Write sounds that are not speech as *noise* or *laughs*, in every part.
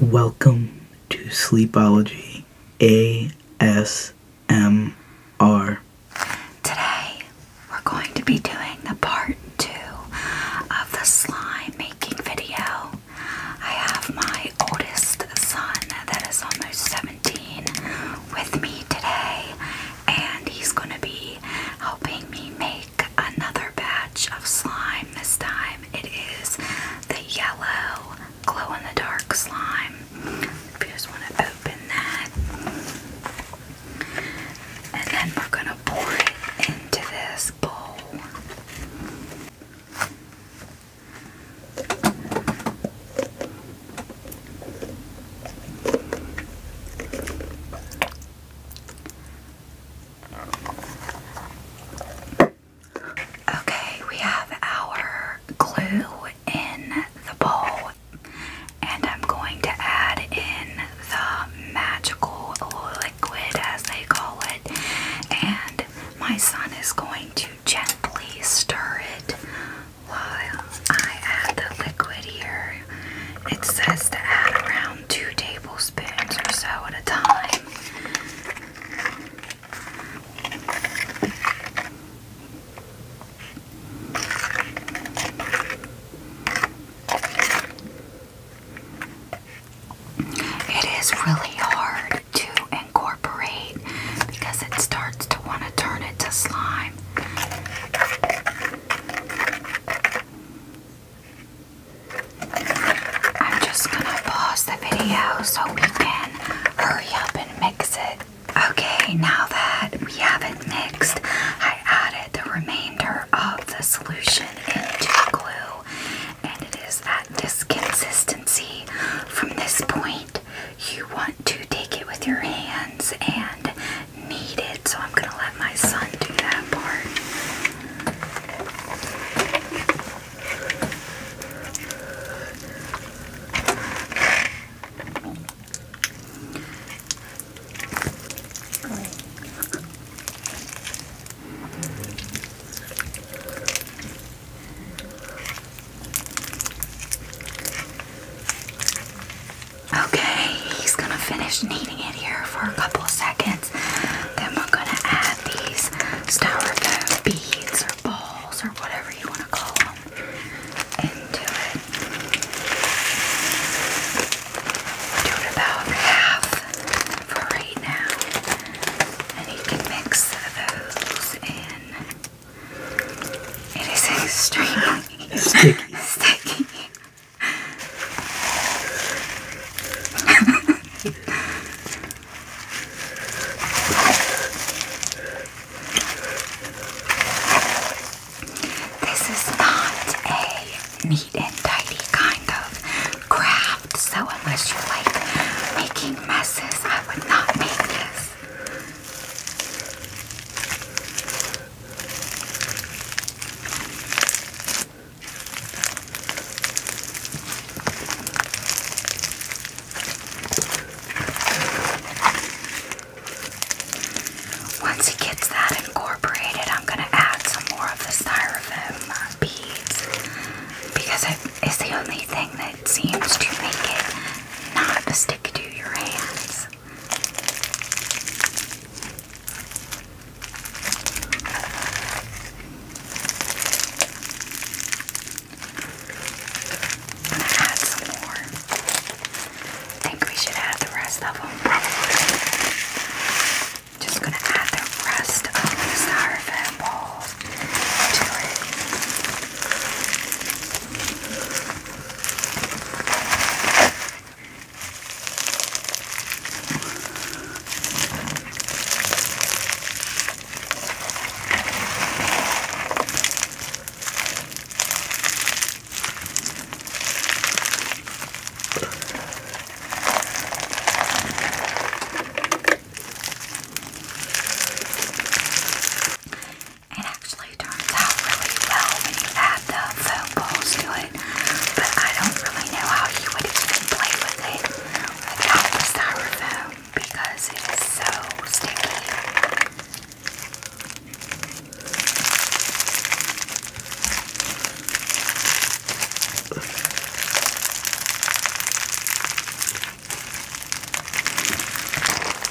Welcome to Sleepology ASMR. Today we're going to be doing the part two of the slime making video. I have my oldest son that is almost 17 with me today, and he's going to be helping me make another batch of slime. This time it is the yellow glow in the dark slime. just want to open that, and then we're going to pour it into this bowl. Okay, we have our glue in the bowl, and I'm going to add in the magical liquid, as they call it, and my son is going to gently stir it while I add the liquid here. It says to add around two tablespoons or so at a time. It is really hard to incorporate because it starts to want to turn into slime. I'm just gonna pause the video so we can hurry up and mix it. Okay, now that we have it mixed, I added the remainder of the solution into the glue, and it is at this consistency. From this point, you want to take it with your hands and knead it, so I'm gonna let my son do that part. Okay, he's gonna finish kneading it here for a couple of seconds. Then we're gonna add these styrofoam beads or balls or whatever you want to call them into it. Do it about half for right now. And you can mix those in. It is *laughs* extremely sticky. *laughs* this is not a neat and tidy kind of craft, so unless you like making messes, I would not make this. Once he gets that incorporated, I'm going to add some more of the styrofoam beads because it is the only thing that seems to make it not stick to your hands. I'm gonna add some more. think we should add the rest of them, probably. Just gonna add the rest of the styrofoam ball to it. It actually turns out really well when you add the foam balls do it, but I don't really know how you would even play with it without the styrofoam because it is so sticky.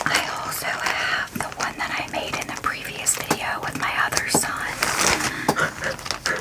I also have the one that I made in the previous video with my other son. *laughs*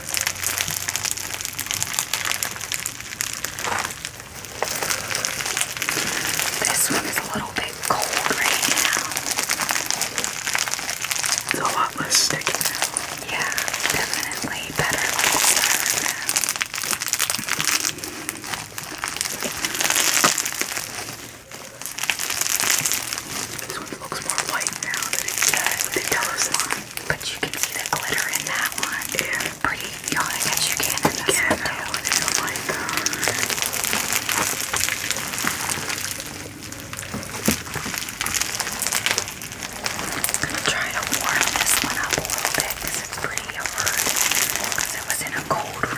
This one is a little bit cold right now. It's a lot less sticky now. Yeah, definitely better This one looks more white now that it's uh, the yellow slime. But you can see the glitter in that one. Yeah. Pretty yawning as you can in this one I'm um, gonna try to warm this one up a little bit because it's pretty hard it was in a cold room.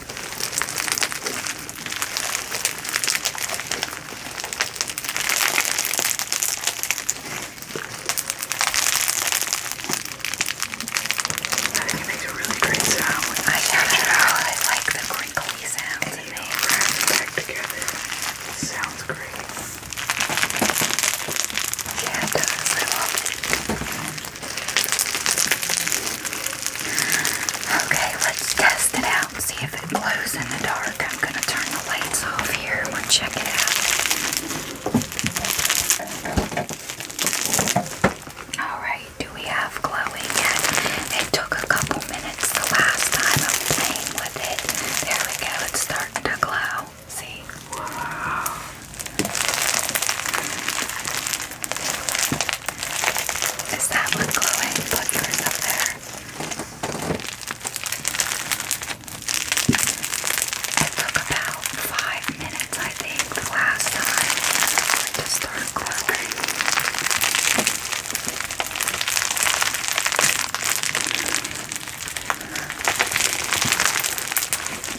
I think it makes a really great sound. When I yeah, I know. I like the crinkly sound. And you wrap it back together. It sounds great. Yeah, it does. I love it. Okay, let's test it out and see if it glows in the dark. I'm going to turn the lights off here. and We'll check it out. Alright, do we have glowing yet? It took a couple minutes the last time I'm with it. There we go, it's starting to glow. See? Whoa. Is that one glowing? Put yours up there. It took about five minutes, I think, last time to start glowing.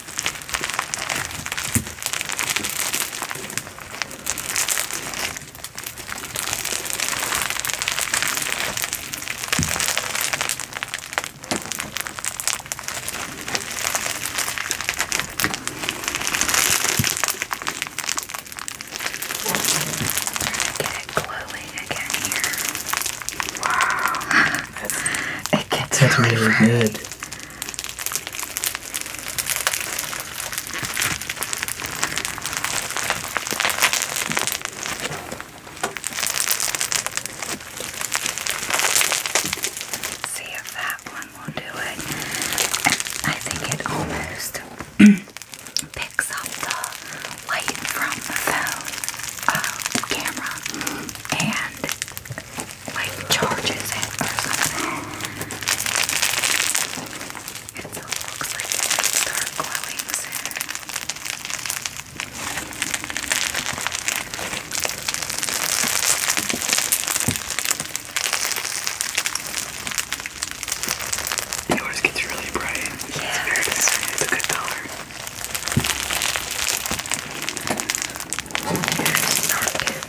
Get it glowing again here. Wow. That's, *laughs* it gets That's really, really good. See if that one will do it. I think it almost *clears throat* picks up the light from the phone uh, camera and like charges it It looks like it's glowing Yours gets really bright. Yeah, it's a good color. Yours dark.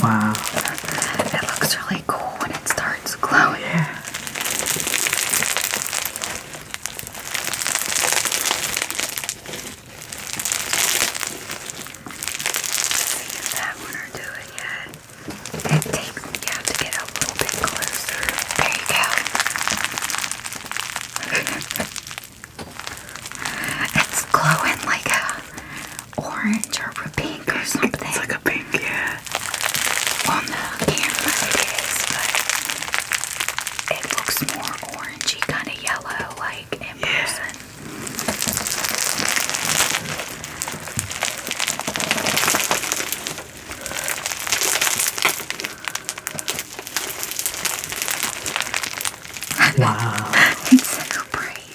Wow. It looks really cool when it starts glowing. Yeah. See if that one will do it yet. It takes, to get a little bit closer. There you *laughs* it's glowing like a orange or pink or something. It's like a pink, yeah. On the camera it is, but it looks more orangey, kind of yellow, like in Wow. *laughs* it's so bright.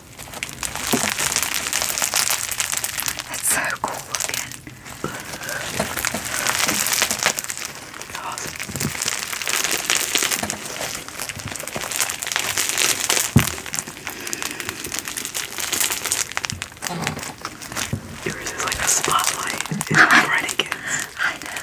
It's so cool looking. Yours is like a spotlight. It's bright *laughs* again. I know.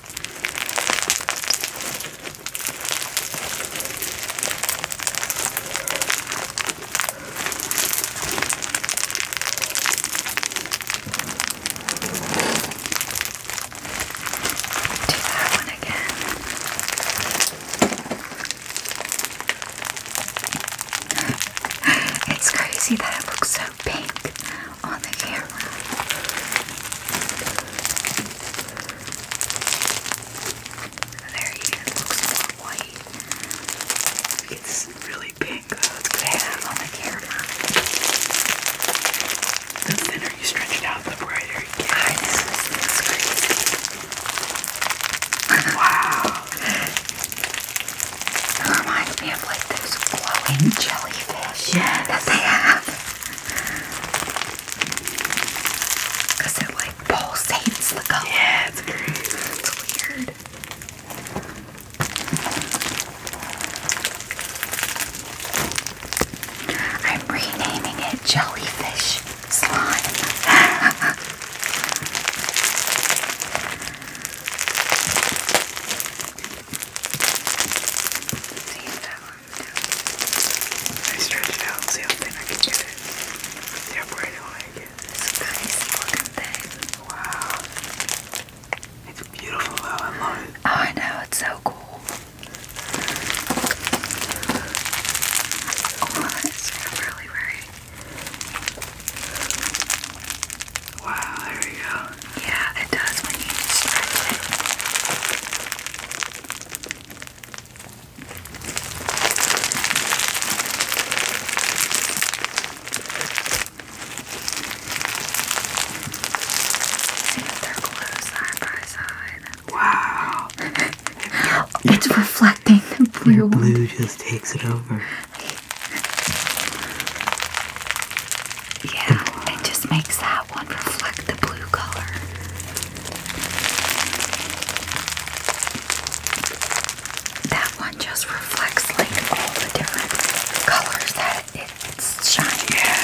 Do that one again. *laughs* it's crazy that it looks so pink on the camera. There he looks more white. It's really pink, though. It's good on the camera. The thinner you stretch it out, the brighter it gets. wow. It reminds me of like those glowing jellyfish that they have. Cause it like pulsates the color. Yeah, it's weird. I'm renaming it jellyfish slime. *laughs* I stretch it out and see how thin I can get it. Yeah, where I get it? It's nice. Look Wow. It's beautiful though. Oh, I know. It's so cool. Oh, it's really, really. Wow, there we go. Yeah, it does when you stretch it. Wow. *laughs* it's reflecting the blue. Your blue just takes it over. Yeah, it just makes that one reflect the blue color? That one just reflects like all the different colors that it's shining. Yeah.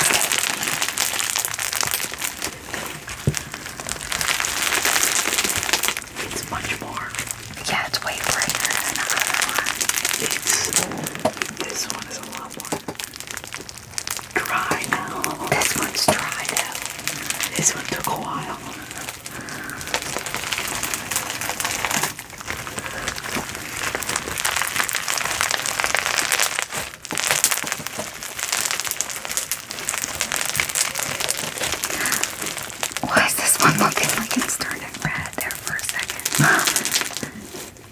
It's much more. Yeah, it's way brighter than the other one. It's this one is a lot more dry now. This one's dry now. This one took a while. Why is this one looking like it's turning red there for a second?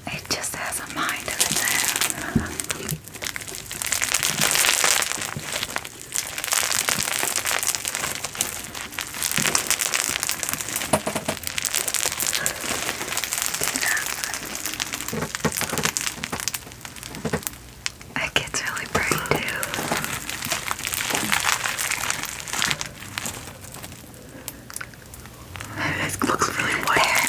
It just has a mind of its own. It gets really bright too. It looks really weird.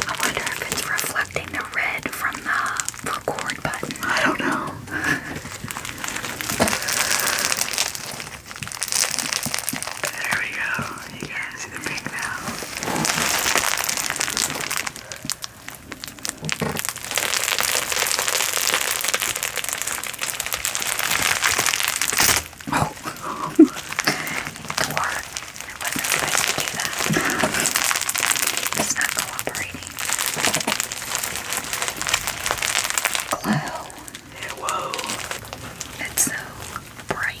I wonder if it's reflecting the red from the record button. I don't know. there we go. You guys see the pink now. Oh, door. I wasn't supposed to do that. It's not cooperating. Glow. Whoa. It's so bright.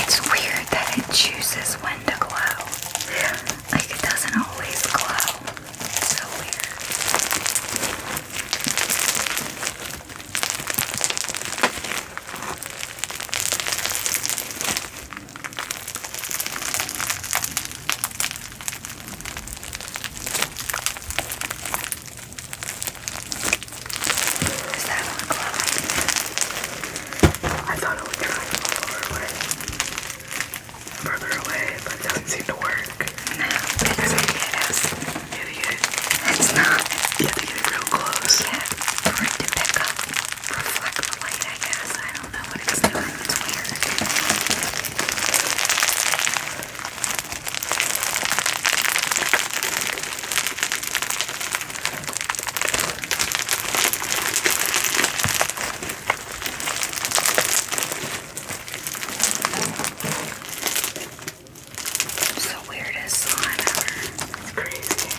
It's weird that it chooses when to glow. Like it doesn't always glow. So weird. Does that look like? I thought it would try to fall forward further away, but it doesn't seem to work. it is. not. You have to get it real close. for it to pick up, reflect the light, I guess. I don't know what it's doing. It's weird. It's the weirdest slime ever. It's crazy.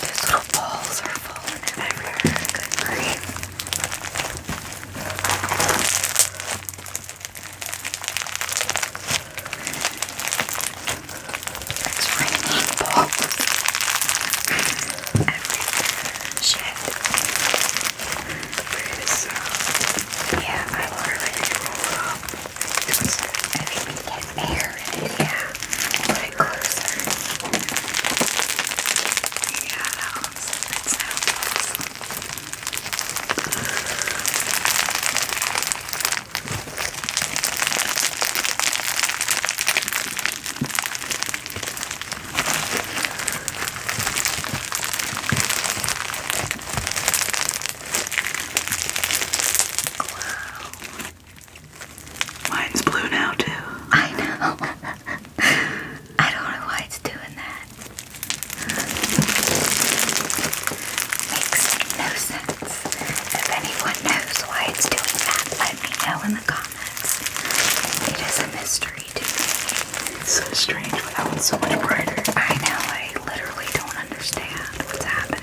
These little balls are falling in everywhere. Good grief. It's raining balls. Everywhere. Shit. So, yeah, I literally roll up. I mean, we get air in it, yeah. Put it closer. Yeah, that looks, that sounds awesome. Mine's blue now, too. I know. *laughs* I don't know why it's doing that. Makes no sense. If anyone knows why it's doing that, let me know in the comments. It is a mystery to me. It's so strange why that one's so much brighter. I know, I literally don't understand what's happening.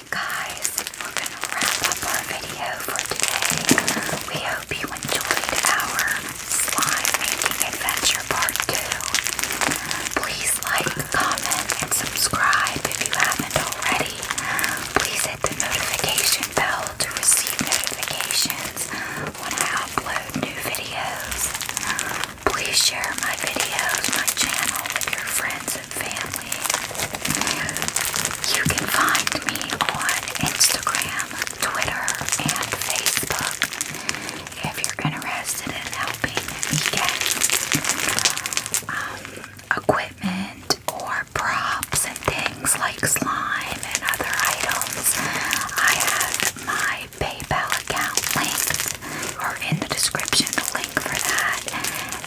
guys, we're gonna wrap up our video for today. We hope you enjoyed our slime making adventure part 2. Please like, comment, and subscribe if you haven't already. Please hit the notification bell to receive notifications when I upload new videos. Please share my videos, my channel with your friends family. You can find me on Instagram, Twitter, and Facebook if you're interested in helping me get um, equipment or props and things like slime and other items. I have my PayPal account linked or in the description for that.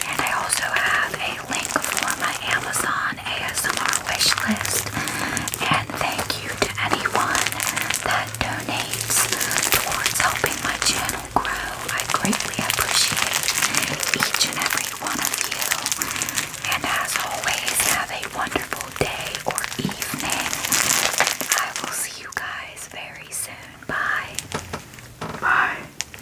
And I also have a link for my Amazon ASMR wish list. And thank you to anyone that donates towards helping my channel grow. I greatly appreciate each and every one of you. And as always, have a wonderful day or evening. I will see you guys very soon. Bye. Bye.